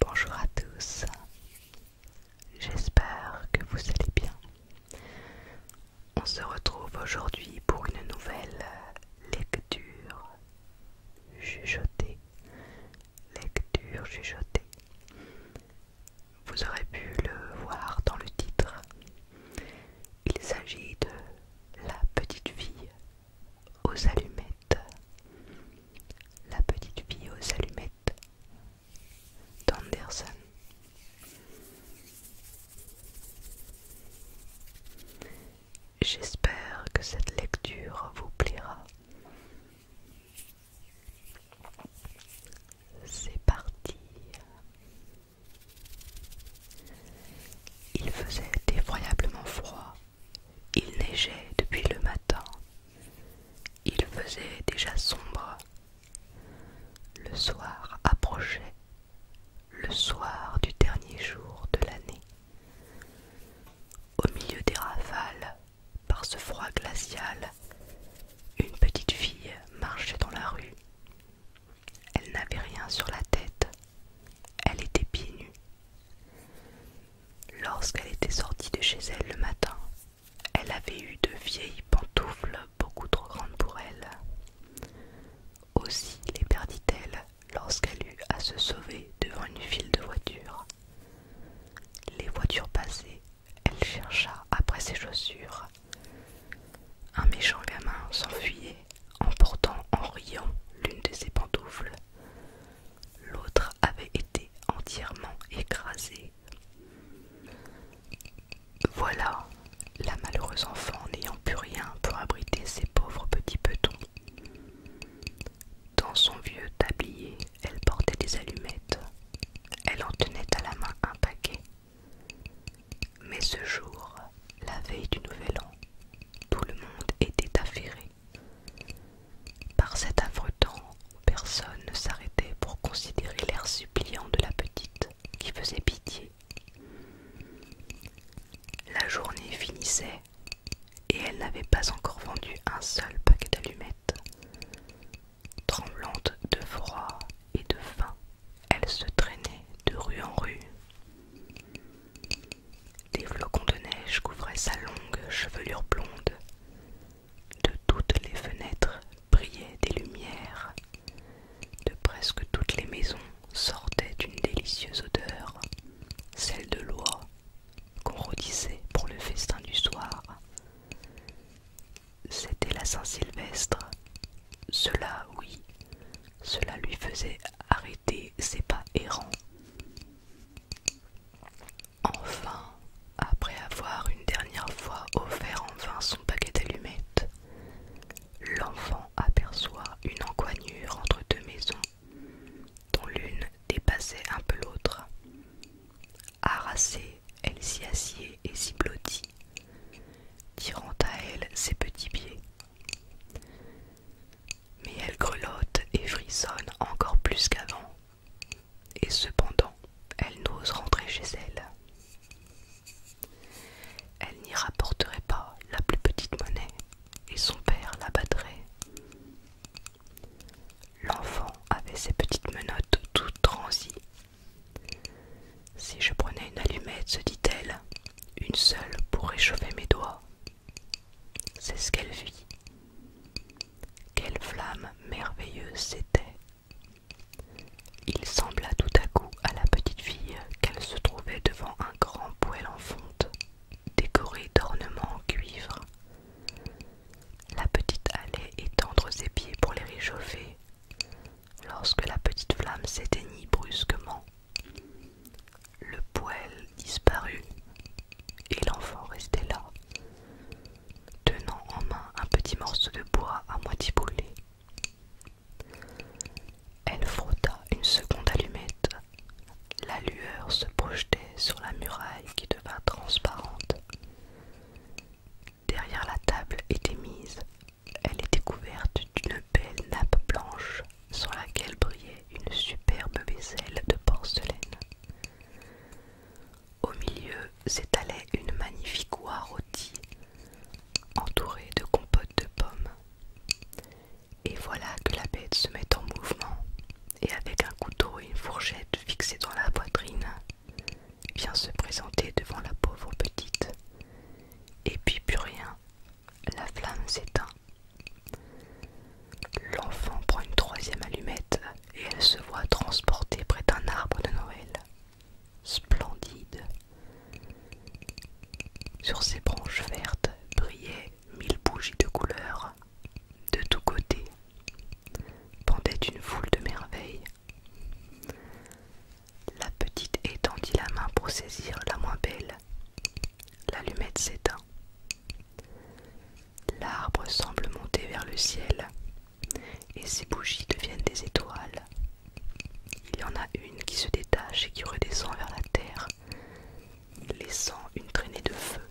Bonjour à tous, j'espère que vous allez bien. On se retrouve aujourd'hui pour une nouvelle lecture chuchotée. Lecture chuchotée. Vous aurez pu le voir dans le titre. Il s'agit de La petite fille aux allumettes. La petite fille aux allumettes d'Anderson. J'espère que cette lecture vous plaira. C'est parti. Il faisait effroyablement froid il neigeait depuis le matin. Il faisait déjà sombre. Le soir approchait, le soir du dernier jour de l'année. Au milieu des rafales, par ce froid glacial, une petite fille marchait dans la rue. Elle n'avait rien sur la tête, elle était pieds nus. Lorsqu'elle était sortie de chez elle le matin, elle avait eu de vieilles pantoufles beaucoup trop grandes pour elle. Aussi les perdit-elle lorsqu'elle eut à se sauver devant une file de voitures. Les voitures passées, elle chercha après ses chaussures. Un méchant gamin s'enfuyait en portant en riant l'une de ses pantoufles. L'autre avait été entièrement écrasée. Voilà, la malheureuse enfant n'ayant plus rien pour abriter ses pauvres petits petons. Dans son vieux tablier, elle portait des allumettes. Elle en tenait à la main un paquet. Mais ce jour, la veille du nouvel an, tout le monde était affairé. Par cet affreux temps, personne ne s'arrêtait pour considérer l'air suppliant de la petite qui faisait pitié. La journée finissait et elle n'avait pas encore vendu un seul paquet d'allumettes. Tremblante de froid et de faim, elle se traînait de rue en rue. Des flocons de neige couvraient sa longue chevelure blonde. De toutes les fenêtres brillaient des lumières. De presque toutes les maisons sortait une délicieuse odeur, celle de l'oie qu'on rôtissait pour le festin du soir. C'était la Saint-Sylvestre. Cela, oui, cela lui faisait arrêter ses pas errants. Enfin, après avoir une dernière fois offert en vain son paquet d'allumettes, l'enfant aperçoit une encoignure entre deux maisons, dont l'une dépassait un peu l'autre. Harassée, elle s'y assied et s'y blottit, tirant à elle ses petits pieds. Mais elle grelotte et frissonne encore plus qu'avant, et cependant elle n'ose rentrer chez elle. Elle n'y rapporterait pas la plus petite monnaie, et son père la battrait. L'enfant avait ses petites menottes toutes transies. Si je prenais une allumette, se dit-elle, une seule pour réchauffer mes doigts. C'est ce qu'elle vit. Quelle flamme merveilleuse c'était. Il sembla tout à coup à la petite fille qu'elle se trouvait devant un grand poêle en fonte, décoré d'ornements en cuivre. La petite allait étendre ses pieds pour les réchauffer, lorsque la petite flamme s'éteignit brusquement le poêle disparut et l'enfant restait là, tenant en main un petit morceau de bois à moitié brûlé. Elle frotta une seconde allumette. La lueur se projetait sur la muraille qui devint transparente. Derrière la table était mise elle était couverte d'une belle nappe blanche sur laquelle brillait une superbe vaisselle de porcelaine. Au milieu s'étalait une magnifique oie rôtie, entourée de compotes de pommes. Et voilà que la bête se met en mouvement, et avec un couteau et une fourchette fixés dans la poitrine, vient se présenter devant la pauvre petite. Et puis plus rien, la flamme s'éteint. L'enfant prend une troisième allumette et elle se voit transportée près d'un arbre de Noël. Splendide. Sur ses branches vertes brillaient mille bougies de couleurs. De tous côtés pendait une foule de merveilles. La petite étendit la main pour saisir la moins belle. L'allumette s'éteint. L'arbre semble monter vers le ciel et ses bougies deviennent des étoiles. Il y en a une qui se détache et qui redescend vers la terre, laissant une traînée de feu.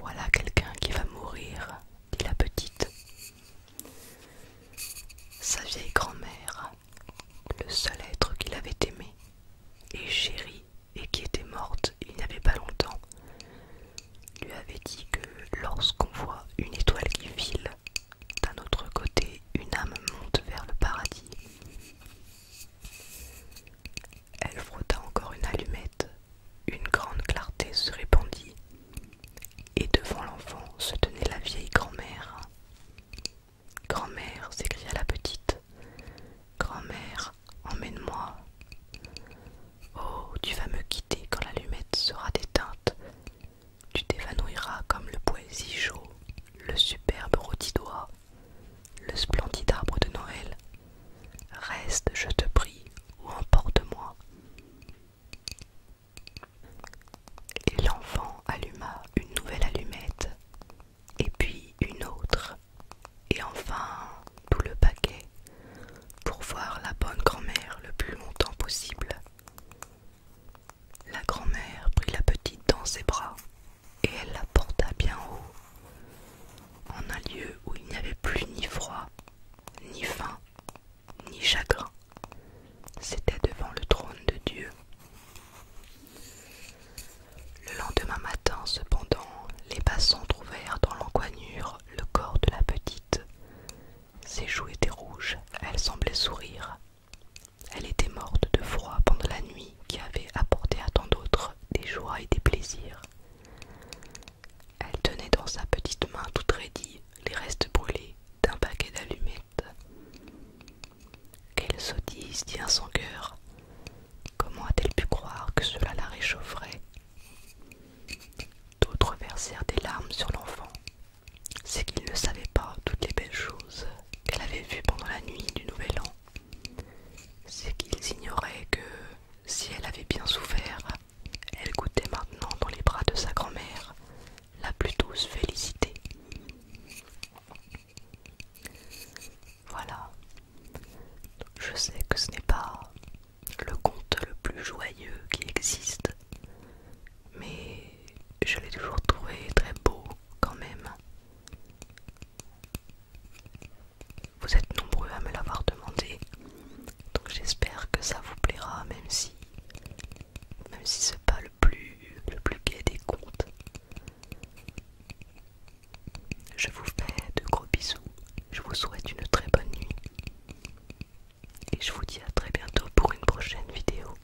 Voilà quelqu'un qui va mourir, dit la petite. Sa vieille grand-mère, le seul être qu'il avait aimé et chéri et qui était morte il n'y avait pas longtemps, lui avait dit que lorsqu'on voit une étoile qui file, d'un autre côté une âme monte vers le paradis. Elle frotta encore une allumette, une grande clarté se répandit, et devant l'enfant se tenait la vieille grand-mère. Grand-mère, s'écria la petite, grand-mère, emmène-moi. Oh, tu vas me quitter quand l'allumette sera déteinte. Tu t'évanouiras comme le poésie chaud, le superbe rôti le splendide arbre de Noël. Reste, je te prie, ou emporte-moi. Et l'enfant alluma une nouvelle allumette, et puis une autre, et enfin tout le paquet, pour voir la bonne grand-mère le plus longtemps possible. La grand-mère prit la petite dans ses bras, et elle la porta bien haut, en un lieu où il n'y avait plus ni froid, ni faim, ni chagrin. C'était devant le trône de Dieu. Le lendemain matin, cependant, les passants trouvèrent dans l'encoignure le corps de la petite. Ses joues étaient rouges, elle semblait sourire. Elle était morte de froid pendant la nuit qui avait apporté à tant d'autres des joies et des plaisirs. Elle tenait dans sa petite main toute raidie les restes brûlés d'un paquet d'allumettes. Quelle sottise, dit un sang cœur. Comment a-t-elle pu croire que cela la réchaufferait D'autres versèrent des larmes sur l'enfant. C'est qu'ils ne savaient pas toutes les belles choses qu'elle avait vues pendant la nuit du Nouvel An. C'est qu'ils ignoraient que si elle avait bien souffert, elle goûtait maintenant dans les bras de sa grand-mère la plus douce félicité. Voilà, je sais que ce n'est pas le conte le plus joyeux qui existe, mais je l'ai toujours trouvé très beau quand même. Vous êtes nombreux à me l'avoir demandé donc j'espère que ça vous plaira même si même si c'est pas le plus le plus gai des comptes. Je vous fais de gros bisous. Je vous souhaite une très bonne nuit. Et je vous dis à très bientôt pour une prochaine vidéo.